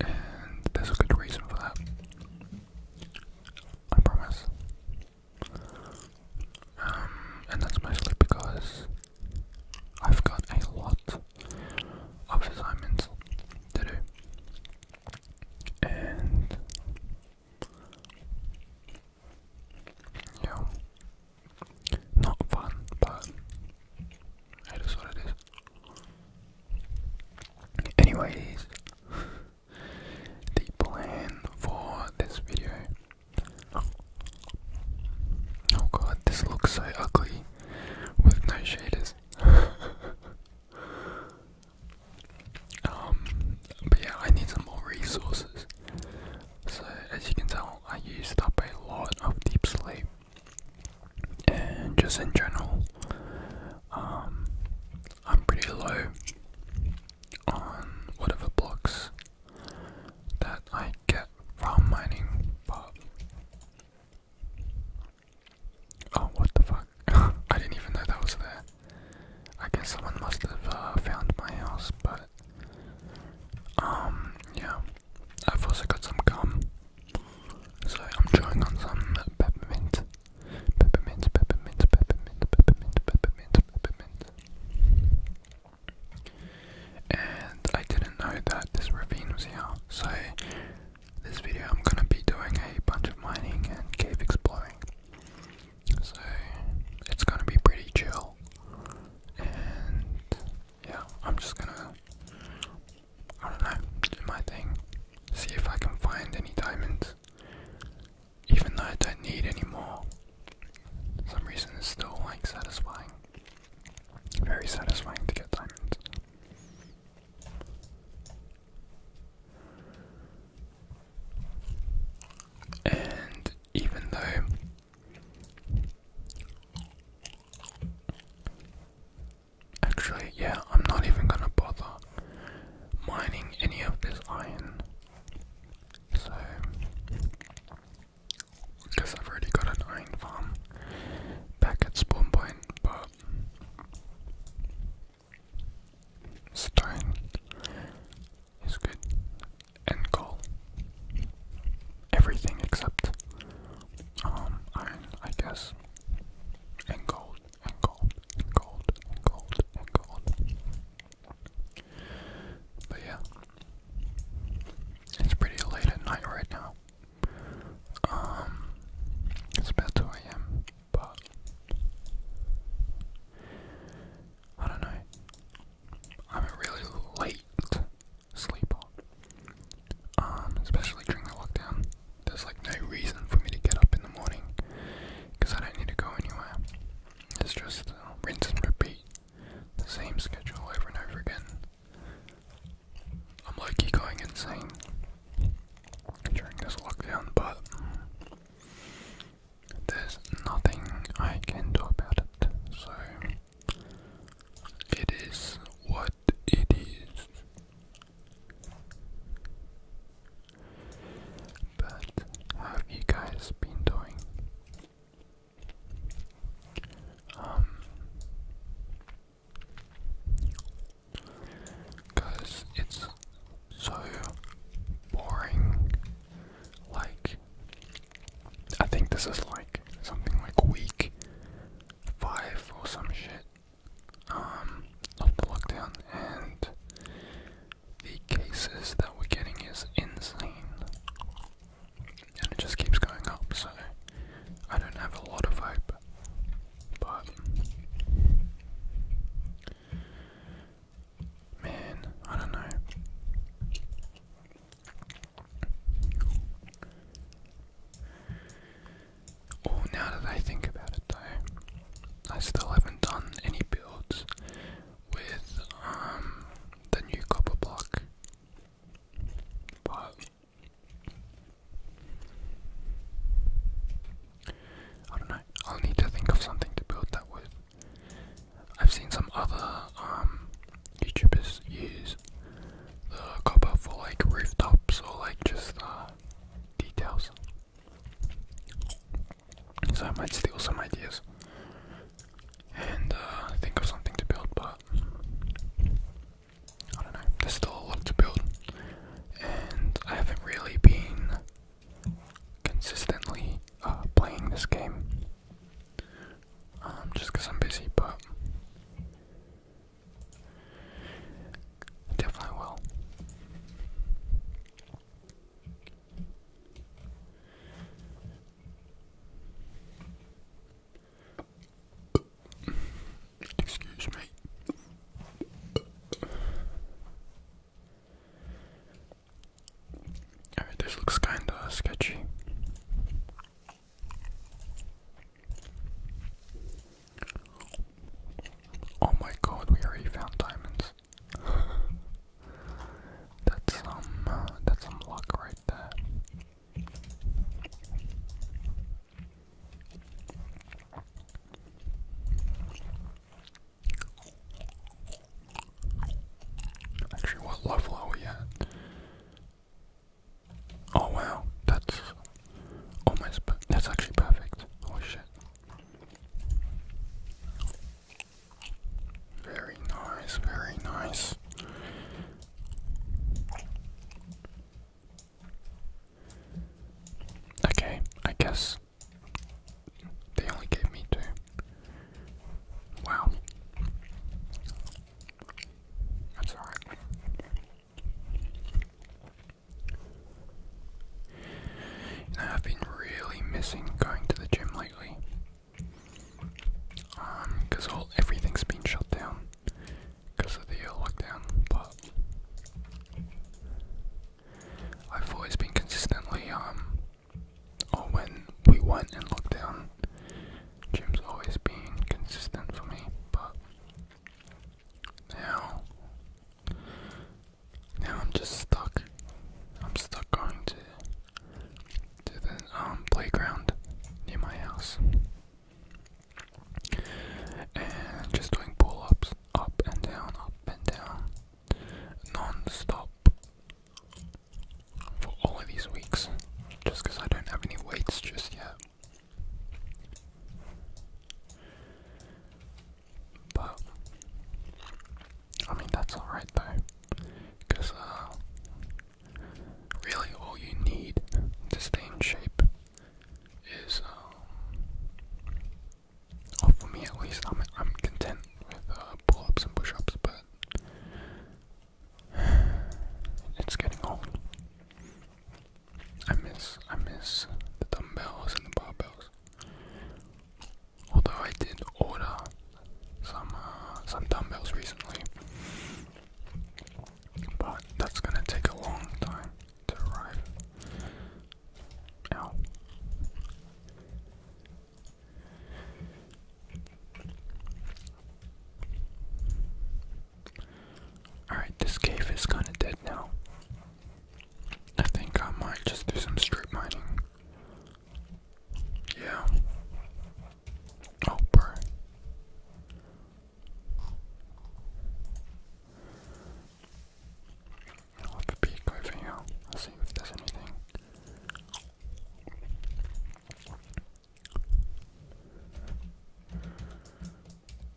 And there's a good reason for that. I promise. Um, and that's mostly because I've got a lot of assignments to do. And yeah, not fun, but it is what it is. Anyways, the plan for this video. Oh. god, this looks so ugly with no shaders. um, but yeah, I need some more resources. So, as you can tell, I used up a lot of deep sleep and just in general, um, I'm pretty low on whatever blocks that I get from mining, but oh, what the fuck! I didn't even know that was there. I guess someone must have uh, found my house, but um, yeah, I've also got some gum. So I'm trying on some peppermint, peppermint, peppermint, peppermint, peppermint, peppermint, peppermint. And I didn't know that this ravine was here, so this video I'm gonna be doing a bunch of mining and cave exploring. So it's gonna be pretty chill. And yeah, I'm just gonna I don't know, do my thing. See if I can find any diamonds. Even though I don't need any more. some reason it's still like satisfying. Very satisfying to get diamonds. And even though Actually, yeah, I'm not even gonna bother mining any of this iron. So, because I've already got an iron farm back at spawn point, but stone is good and coal. Everything except um, iron, I guess, and gold and gold and gold and gold But yeah, it's pretty late at night right now. Um, it's about 2 a.m., but I don't know. I'm a really late sleeper, um, especially during the lockdown there's like no reason for me to get up in the morning because I don't need to go anywhere. It's just uh, rinse and repeat the same schedule over and over again. I'm low going insane during this lockdown, but there's nothing I can do about it, so it is what it is. But have you guys been doing? cause um, it's so boring. Like, I think this is like something like week five or some shit. Um, of the lockdown, and the cases that we're getting is insane, and it just keeps going up. So I don't have a lot of hope, but man, I don't know. Oh, now that I think about it though, I still haven't done any builds with um, the new copper block. But I don't know. I'll need to think of something to build that with. I've seen some other um, YouTubers use the copper for like rooftops or like just uh, details. So I might steal some ideas and uh, think of something to build, but I don't know. There's still a lot to build, and I haven't really been consistently uh, playing this game um, just because I'm busy, but Definitely will. Excuse me. this looks kinda sketchy. Oh my god, we already found diamonds. that's some uh, that's some luck right there. Actually, what level are we at? Oh wow, that's almost oh, that's actually perfect. Oh shit. Very nice, very nice. Okay, I guess they only gave me two. Wow. That's alright. I've been really missing going to the gym lately. Um, cause all everything's been shut down because of the lockdown, but I've always been consistently um, or when we went and in lockdown, gym's always been consistent for me, but now now I'm just stuck. I'm stuck going to to the um playground near my house. And just doing pull ups up and down, up and down non stop for all of these weeks. Just because I don't have any weights just yet. But I mean that's alright though, because uh, really all you need to stay in shape is, um, or for me at least, I'm I'm content with uh, pull-ups and push-ups, but it's getting old. I miss I miss the dumbbells and the barbells. Although I did order some uh, some dumbbells recently, but that's gonna take a long time to arrive. Ow. Alright, this cave is kind of dead now. I think I might just do some strip mining. Yeah. Oh, bro. I'll have a peek over here. I'll see if there's anything.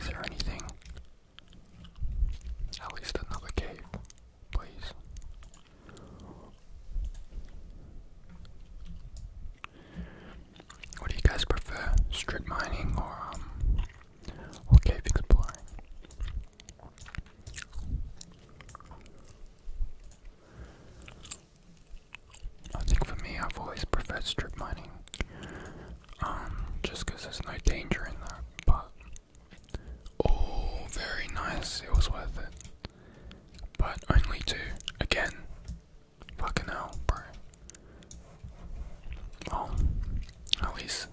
Is there anything? At least another cave, please. What do you guys prefer, strip mining or um, cave exploring? I think for me, I've always preferred strip mining, um, just because there's no danger in that. But oh, very nice. It was worth it, but only two again. Fucking hell, bro. Well, at least,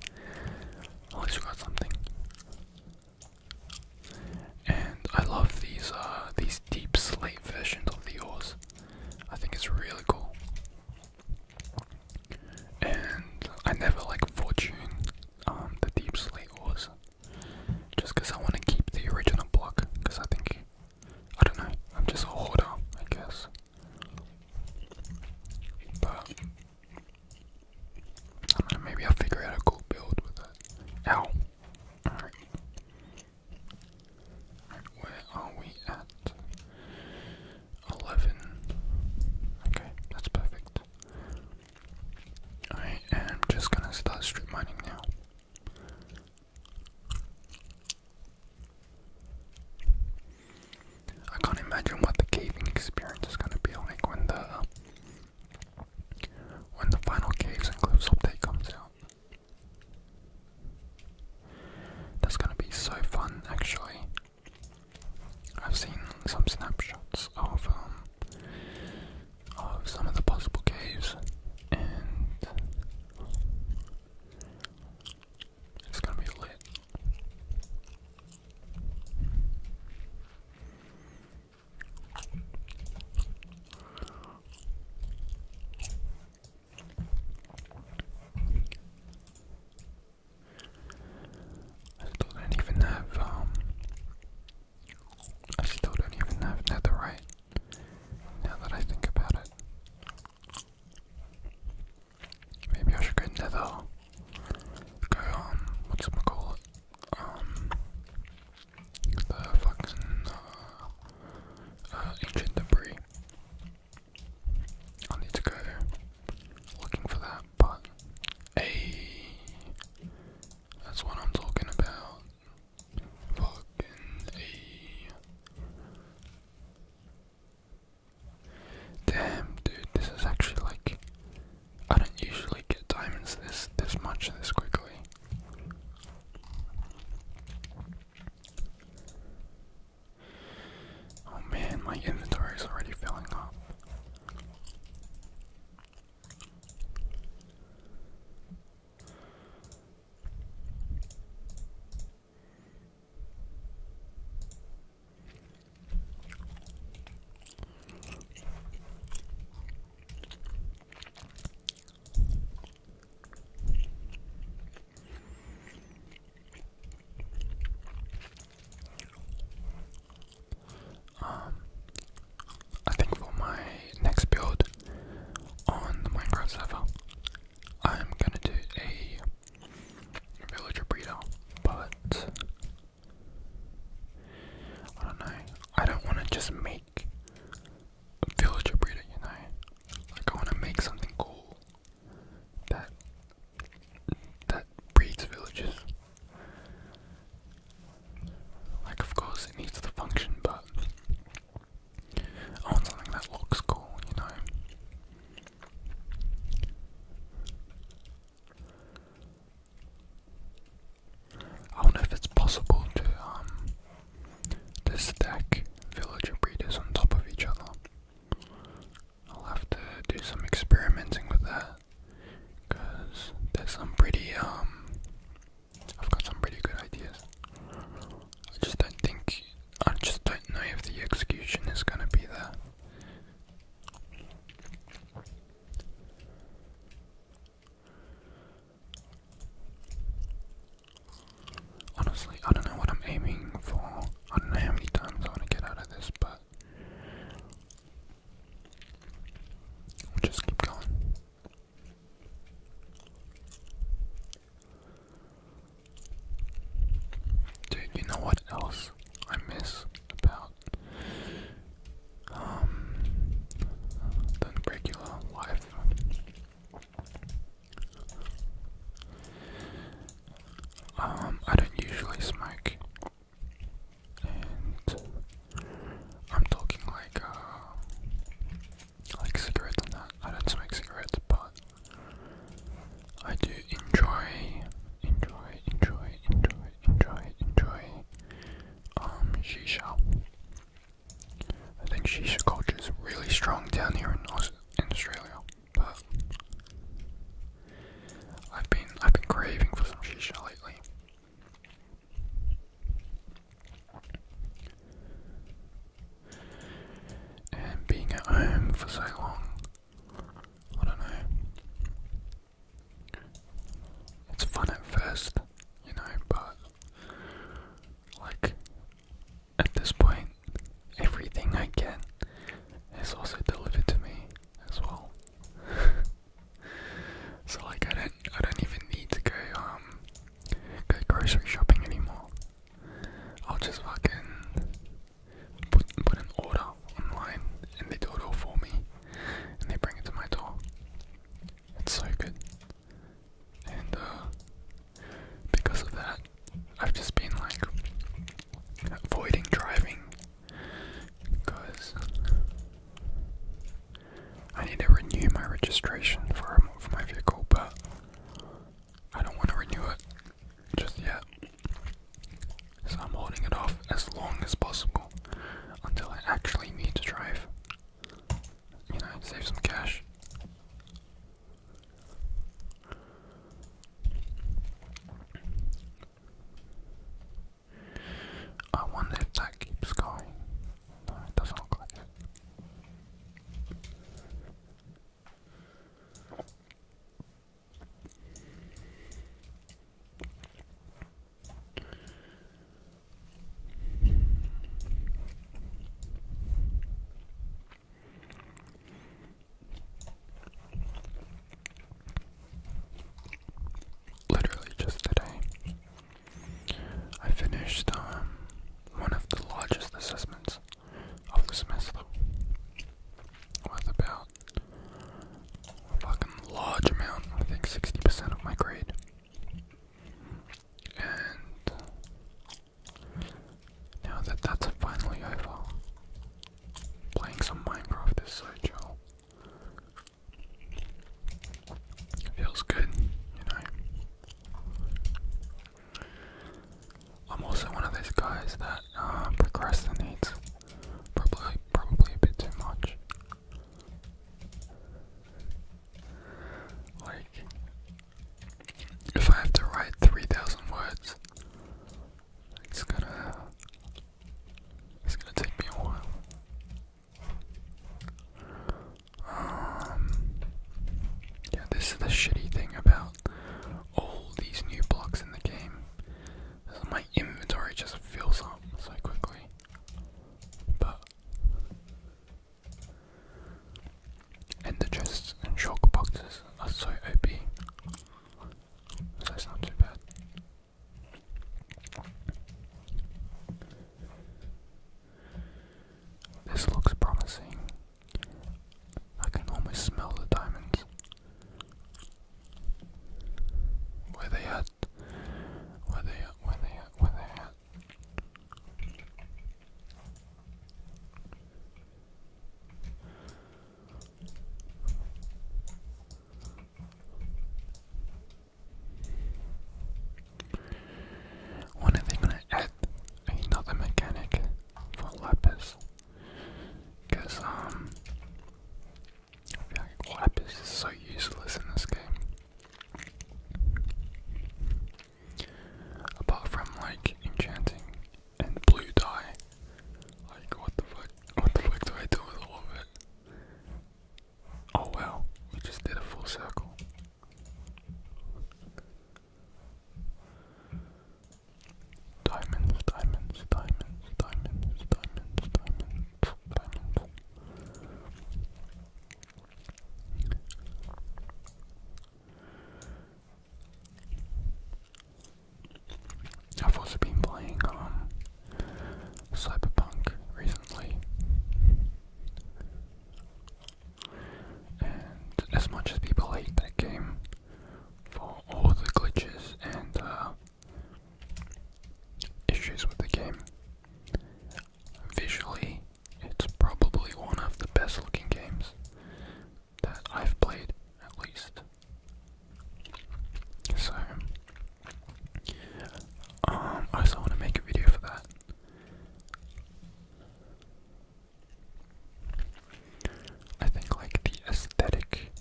at least we got something. And I love these uh these deep slate versions of the ores. I think it's really cool. And I never like fortune um, the deep slate ores, just because I want to keep the original block. Because I think, I don't know, I'm just a hoarder, I guess. But maybe I'll figure out a cool build with it. Ow! Alright where are we at? 11. Okay, that's perfect. I am just gonna start strip mining now. I can't imagine what the caving experience is gonna be like when the when the final caves and cliffs update comes out. That's gonna be so fun, actually. I've seen some snapshots of um, of some of the possible caves, and it's gonna be lit. I still don't even have, um, I still don't even have netherite, now that I think about it. Maybe I should go nether, go, um, what's it called, um, the fucking uh, uh, ancient debris. I need to go looking for that, but hey, that's what I'm talking about. Fucking hey. Damn, dude, this is actually like I don't usually get diamonds this this much this quickly. Oh man, my inventory is already filling up. Um, I think for my next build on the Minecraft server, I'm gonna do a villager breeder, but I don't know. I don't want to just make like breeder, you know? Like I wanna make something cool that that breeds villagers. Like of course it needs the function but I want something that looks cool, you know. I wonder if it's possible to um to stack villager breeders on top of each other. I'll have to do some experimenting with that there's some pretty, um, I've got some pretty good ideas. I just don't think, I just don't know if the execution is going to be there. Honestly, I don't know what I'm aiming for. I don't know how many times I want to get out of this, but just keep going. Dude, you know what else I miss about um the regular life? Um, I don't usually smoke, I'm talking like uh, like cigarettes I don't smoke cigarettes, but I do enjoy, enjoy, enjoy, enjoy, enjoy, enjoy um shisha. I think shisha culture is really strong down here in, Australia, but I've been I've been craving for some shisha lately. And being at home for so long, I don't know. It's fun at first, you know, but like at this point, everything I get is also delivered to me as well. so like I don't I don't even need to go um go grocery shopping anymore. I'll just fucking put put an order online and they do it all for me and they bring it to my door. It's so good. And uh because of that. I've just been like avoiding driving because I need to renew my registration for, for my vehicle, but I don't want to renew it just yet. So I'm holding it off as long as possible until I actually need to drive. You know, save some cash. I wonder that keeps going. No, doesn't look Literally just today, I finished um, one of the largest assessments of the semester with about a fucking large amount, I think 60% of my grade. And now that that's finally over, playing some Minecraft is so chill. Feels good, you know. I'm also one of those guys that uh, procrastinates probably probably a bit too much. Like if I have to write 3,000 words, it's gonna. It's gonna take me a while. Um, yeah, this is the shitty thing about all these new blocks in the game. My inventory just fills up so quickly. But and the chests and shock boxes are so OP. So it's not too bad. This looks promising. I can almost smell the diamonds. Where they at? Where they at? Where they at? Where they at? When are they going to add another mechanic for Lapis? Because, um, Lapis is so useless in this game. Apart from like enchanting and blue dye. Like what the fuck what the fuck do I do with all of it? Oh well, we just did a full circle. Diamonds, diamonds, diamonds, diamonds, diamonds, diamonds, diamonds. I've also been playing um, Cyberpunk recently. And as much as people hate that game for all the glitches and uh, issues with the game, visually it's probably one of the best looking games that I've played, at least. So, um, I also want to make a video for that. I think like the aesthetic,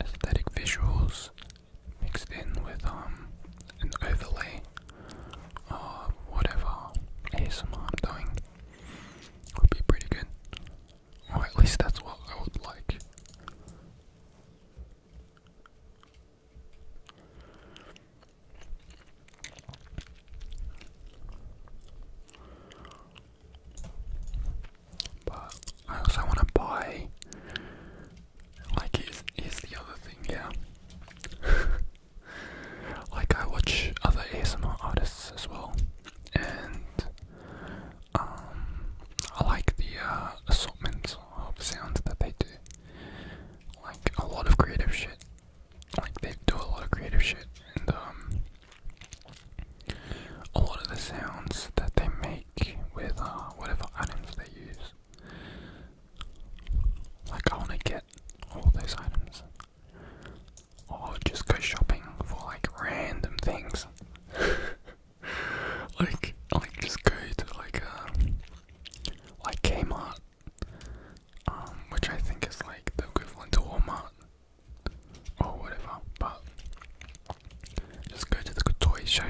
aesthetic visuals mixed in with um an overlay or whatever ASMR I'm doing would be pretty good. Or at least that's what I would like. But I also want to buy. Like, here's, here's the other thing, yeah. Like I watch other ASMR artists as well, and um, I like the uh, assortment of sounds that they do. Like a lot of creative shit. Like they do a lot of creative shit, and um, a lot of the sounds that they make with uh, whatever items they use. Like I want to get all those items or just go shopping for like random things. like like just go to like um like Kmart. Um, which I think is like the equivalent to Walmart or whatever, but just go to the toy show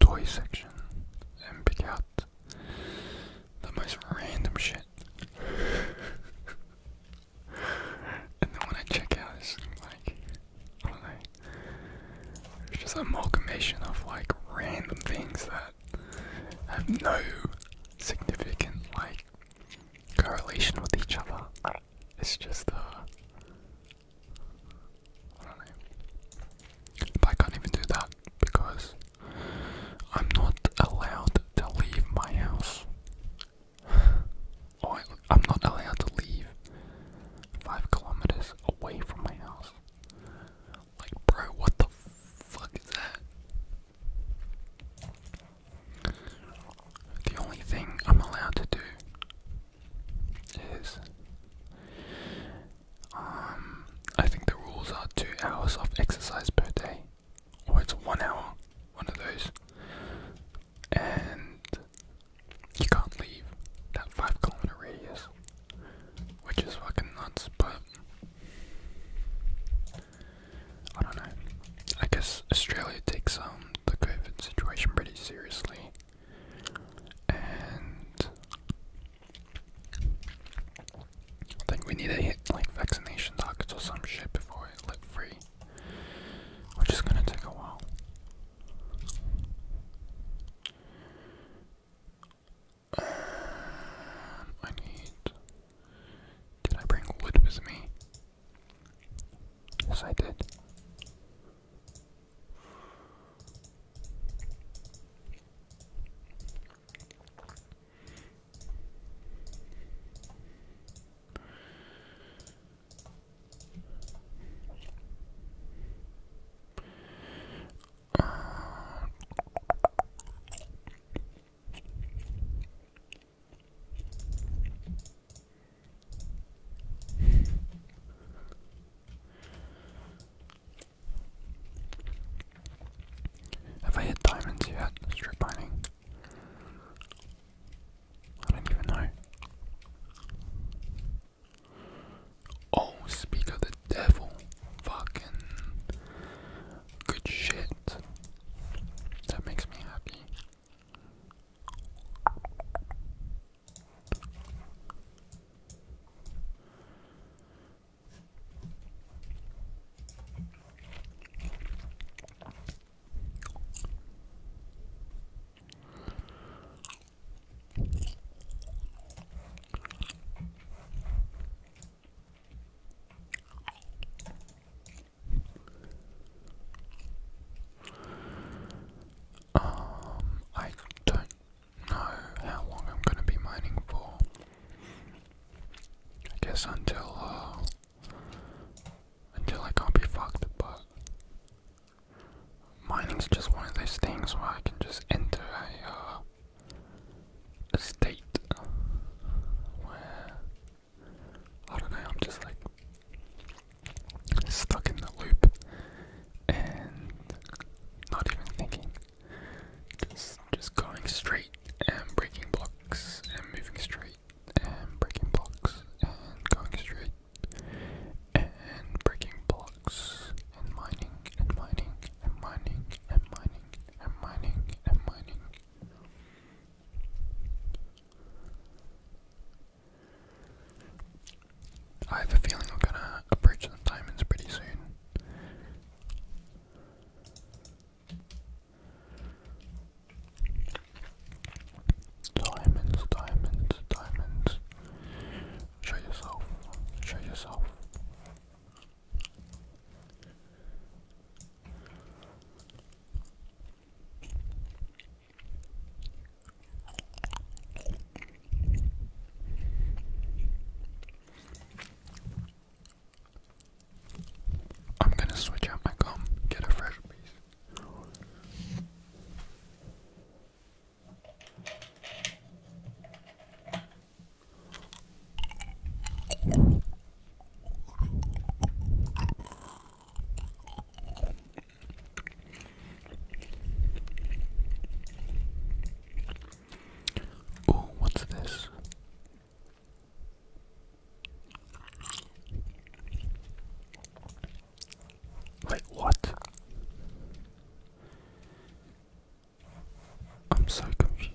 toy section and pick out the most random shit. and then when I check out, it's like, I don't know, it's just a amalgamation of like random things that have no significant like correlation with each other. It's just, uh, I don't know. I can't even do that because I'm not allowed to leave my house. I, oh, I'm not allowed to leave five kilometers away from my house. Like, bro, what the fuck is that? The only thing I'm allowed to do is, um, I think the rules are two hours of exercise per day. Oh, it's one hour, one of those, and you can't leave that five kilometer radius, which is fucking nuts. But I don't know. I guess Australia takes um the COVID situation pretty seriously, and I think we need to hit like vaccination targets or some shit before it let free which is going to take a while. Um, I need. Did I bring wood with me? Yes, I did have I hit diamonds yet? Strip mining. I don't even know. Oh, speak of the devil. Fucking good shit. That makes me happy. Um, I don't know how long I'm going to be mining for. I guess until uh, until I can't be fucked, but mining's just one of those things where I can just enter uh, a, state where, I don't know, I'm just like stuck in the loop and not even thinking, just, just going straight and breaking blocks and moving straight and breaking blocks and going straight and breaking blocks and mining and mining and mining and mining and mining and mining. I have a feeling we're gonna approach the diamonds pretty soon. Diamonds, diamonds, diamonds. Show yourself. Show yourself. I'm gonna switch out my gum, get a fresh piece. Oh, what's this? Wait, what? I'm so confused.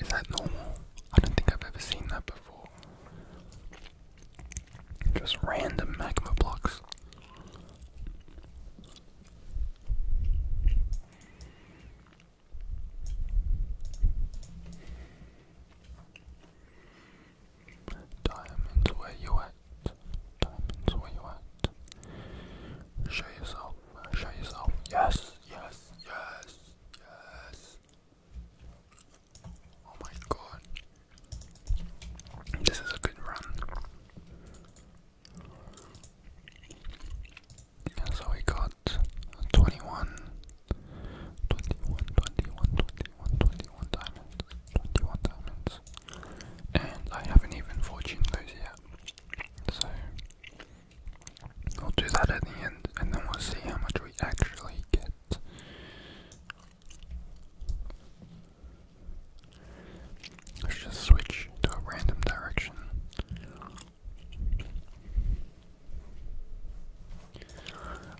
Is that normal? I don't think I've ever seen that before. Just random magma blocks. Diamonds where you at. Diamonds where you at. Show yourself. Show yourself. Yes, yes, yes, yes. Oh my god. This is a good run. so we got 21, diamonds, 21 diamonds. And I haven't even fortuned those yet. So we'll do that at the end and then we'll see how much we actually get. Let's just switch to a random direction.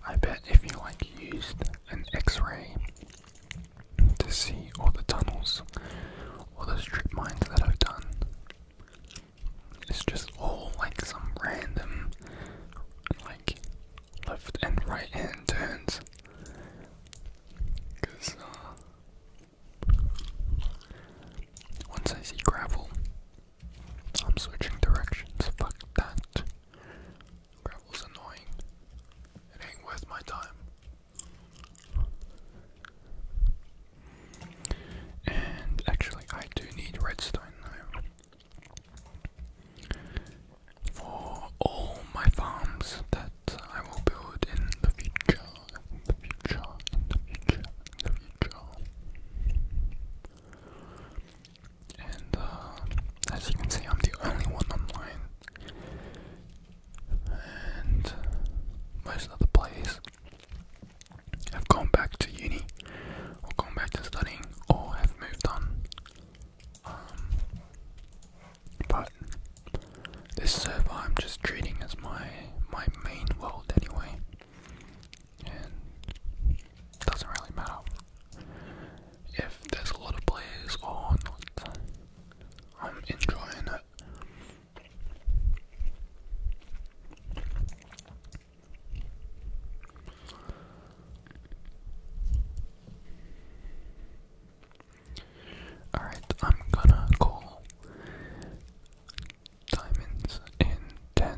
I bet if you like used an x-ray to see all the tunnels, all the strip mines that I've done, it's just all like some random, like left and right hand turns. Because uh, once I see gravel, I'm switching directions. Fuck that. Gravel's annoying. It ain't worth my time. And actually, I do need redstone now for all my farms that I will build in the future, in the future, the future, the future. And uh, as you can see, I'm the only one online, and most other players have gone back to uni, or gone back to studying, or have moved on. Um, but this server I'm just treating as my my main world anyway, doesn't really matter if there's a lot of players or not. I'm enjoying it. Alright, I'm gonna call diamonds in 10,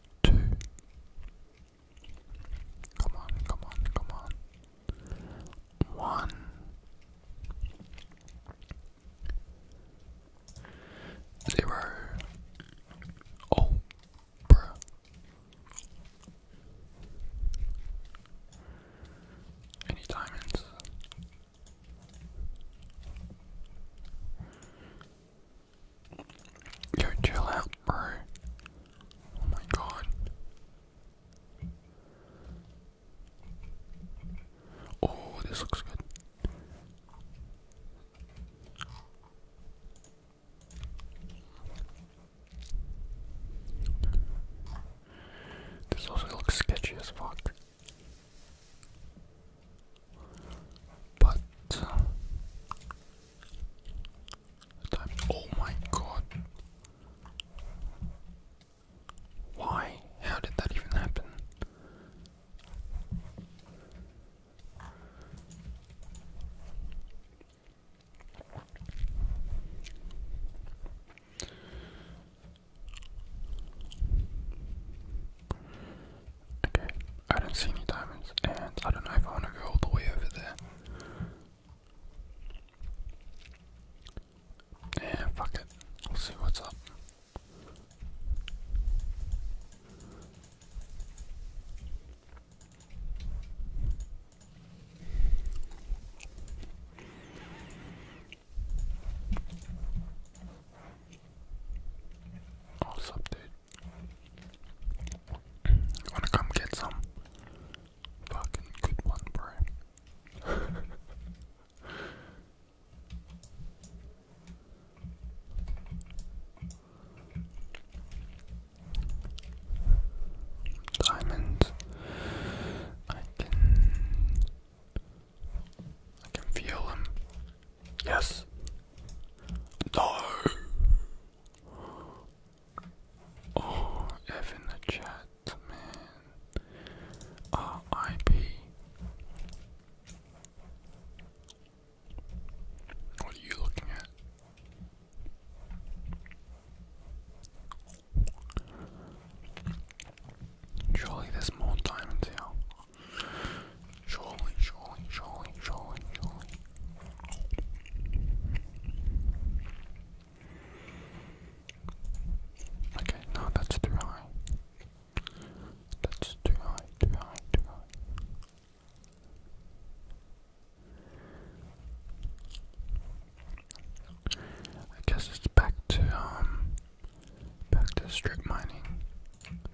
two. Come on, come on, come on. One. Zero. Oh, bruh. Any diamonds? Yo, chill out, bro. Oh my god. Oh, this looks good. This also looks sketchy as fuck. But oh my god. Why? How did that even happen? Okay, I don't see any diamonds, and I don't know if I want to go all the way over there. Yeah, fuck it. We'll see what's up. Oh, what's Wanna come get some fucking good one, bro? Diamonds. I can I can feel them. Yes. No. Oh, F in the chat, R.I.P. What are you looking at? Surely there's more diamonds here. Surely, surely, surely, surely, surely. Okay, no, that's too high. That's too high, too high, too high. I guess it's back to um back to strip mining.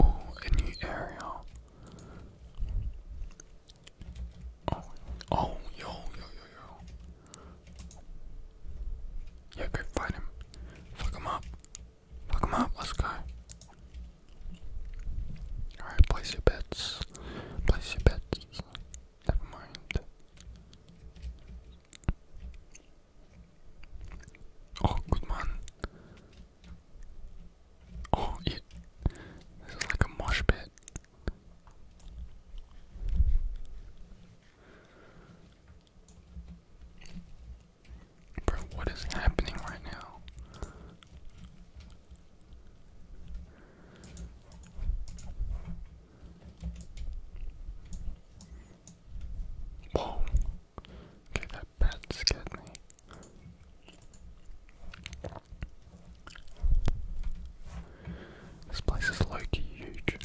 Oh, a new area. Oh, oh, yo, yo, yo, yo. Yeah, go fight him. Fuck him up. Fuck him up, let's go. Alright, place your bets. Place your bets. Never mind. Oh, good man. Oh, yeah. this is like a mosh pit. Bro, what is happening right now? Whoa. Okay, that bat scared me. This place is like huge.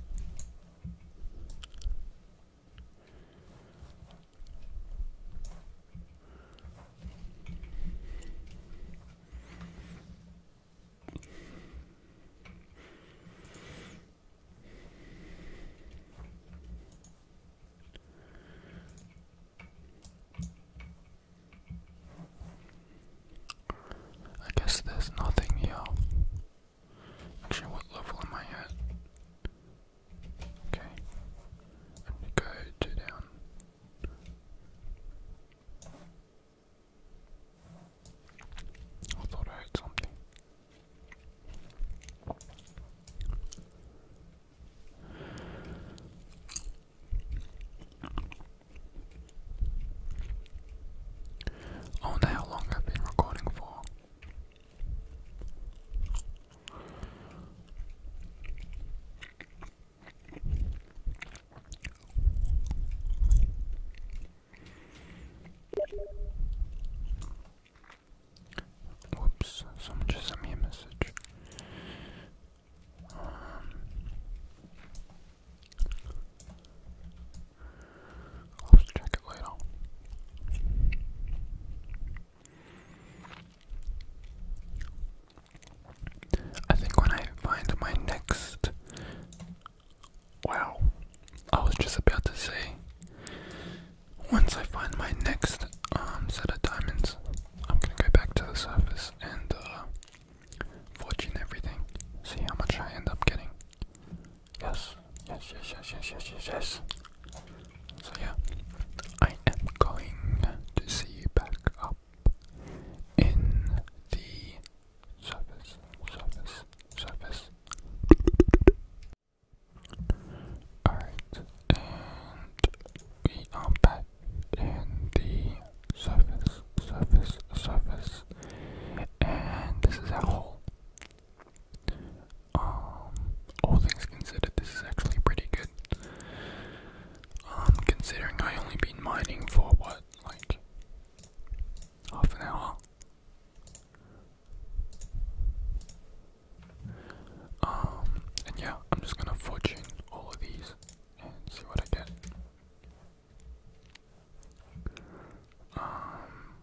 I guess there's nothing here. Actually, what level am I at? Okay. And we down. I thought I heard something. I wonder how long have been recording for. Whoops, someone just sent me a message. Um, I'll check it later. I think when I find my next. Wow. I was just about to say once I find my next um, set of diamonds, I'm gonna go back to the surface and uh, fortune everything. See how much I end up getting. Yes, yes, yes, yes, yes, yes, yes, yes. So yeah, I am going to see you back up in the surface, surface, surface. Alright, and we are back in the surface, surface, surface, and this is our hole. Um, all things considered, this is actually pretty good. Um, considering I only been mining for what, like half an hour. Um, and yeah, I'm just gonna fortune all of these and see what I get. Um,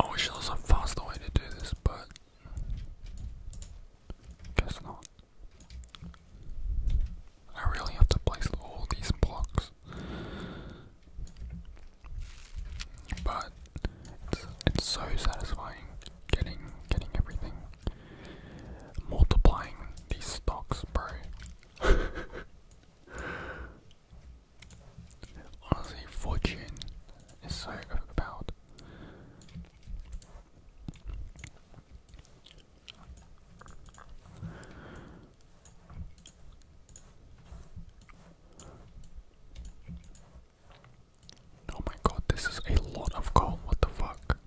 I wish there was a faster way to do this, but guess not. I really have to place all these blocks but it's, so satisfying getting getting everything. Multiplying these stocks, bro. Honestly, fortune is so about. Oh my god, this is a lot of coal. What the fuck?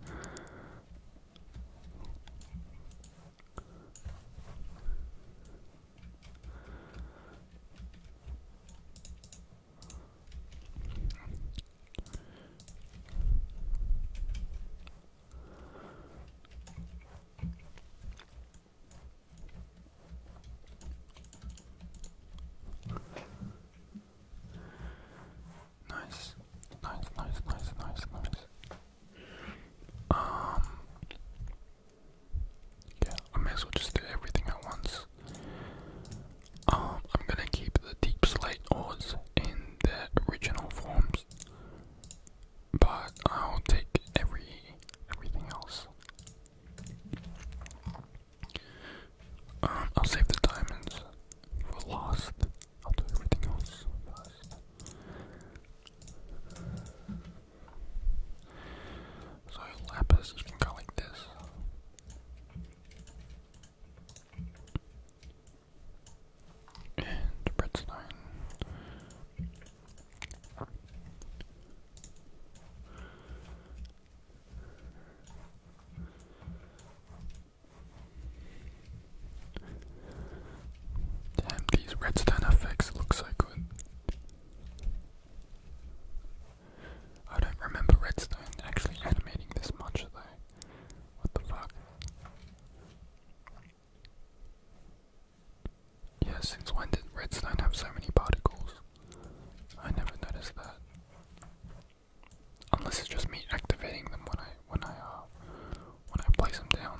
Nice, nice, nice, nice, nice, nice. Um, yeah, I may as well just do everything at once. Um, I'm gonna keep the deep slate ores in their original forms but I'll take every everything else. Um, I'll save the diamonds for lost. I'll do everything else first. So lapis, you can go this. And redstone. Damn, these redstone effects look so good. I don't remember redstone actually animating this much though. What the fuck? Yes. since when did redstone have so many particles? I never noticed that. Unless it's just me activating them when I when I uh, when I place them down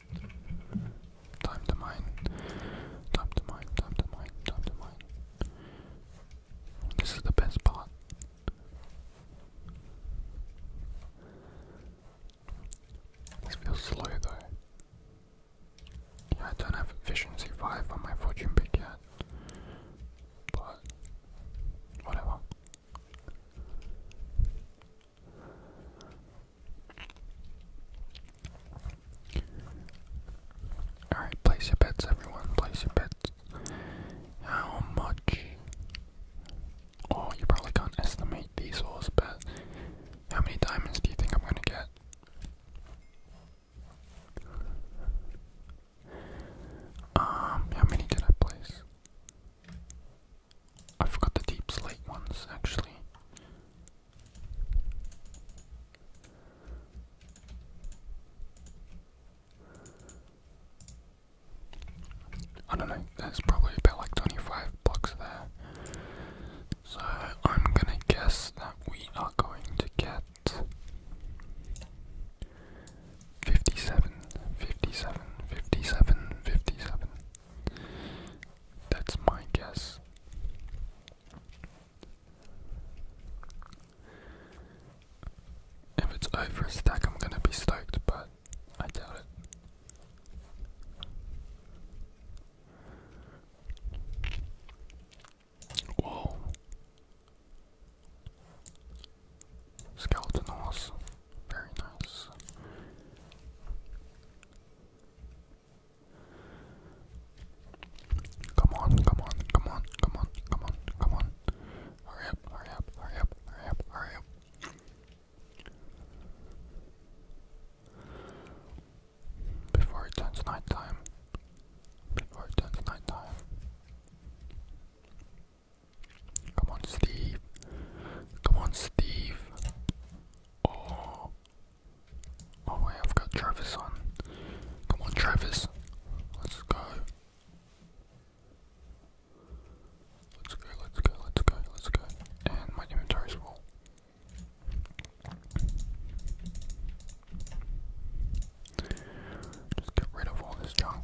Time to mine. Time to mine. Time to mine. Time to mine. This is the best part. This feels slow though. Yeah, I don't have efficiency 5 on my fortune pick yet. But whatever. Alright, place your bets, everyone. Place your bets. How much? Oh, you probably can't estimate these horse but how many diamonds do you think I'm gonna get? Um, how many did I place? I forgot the deep slate ones actually. I don't know, there's probably about like 25 blocks there. So I'm gonna guess that we are going to get 57, 57, 57, 57. That's my guess. If it's over a stack, I'm gonna be stoked, but I doubt it. Whoa. Skeleton horse. Very nice. Come on, come on, come on, come on, come on, come on. Hurry up, hurry up, hurry up, hurry up, hurry up. Before it turns night time. Before it turns night time. Come on, Steve. Come on, Steve. Oh, Oh wait, I've got Travis on. Come on, Travis. Let's go. Let's go, let's go, let's go, let's go. And my inventory's full. Just get rid of all this junk.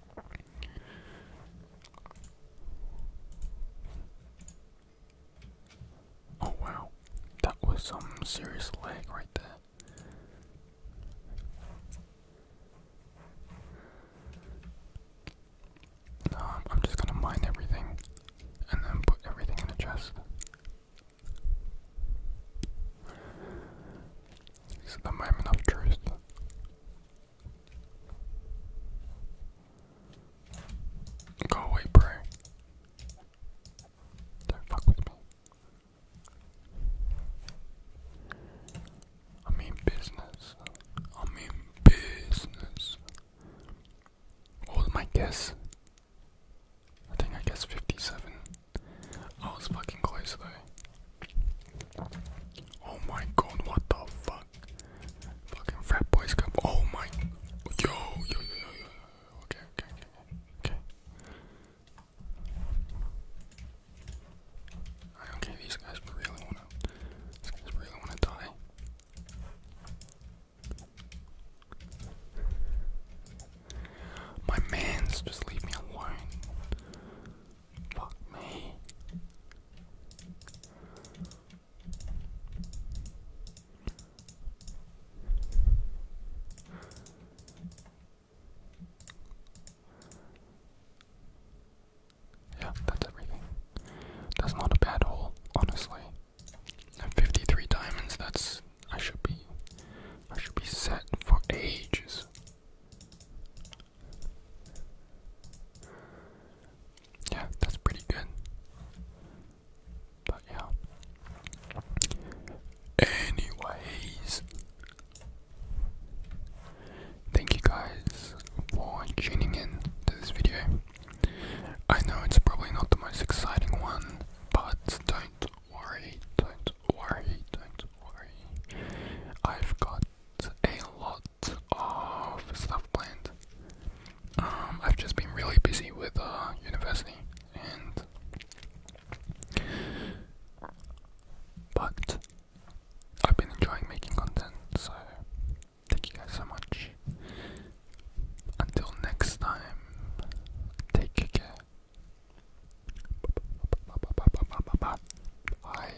Oh wow, that was some serious lag right there. Um, I'm just gonna mine everything and then put everything in a chest. Is the moment of truth. Go away, bro. Don't fuck with me. I mean business. I mean business. What was my guess? I think I guessed 57. I was fucking close though. Oh my god, what the fuck? Fucking frat boys cup. Oh my. Yo, yo, yo, Okay, okay, okay, okay. Okay, these guys really wanna. These guys really wanna die. My man's just leave me alone. Fuck me. Yeah, that's everything. That's not a bad hole, honestly. 53 diamonds, that's I should be I should be set for ages. Yeah, that's pretty good. But yeah. Anyways, thank you guys for tuning in to this video. I know it's probably not the most exciting one, but don't worry, don't worry, don't worry. I've got a lot of stuff planned. Um, I've just been really busy with uh, university, and but I've been enjoying making content. So thank you guys so much. Until next time, take care. Bye.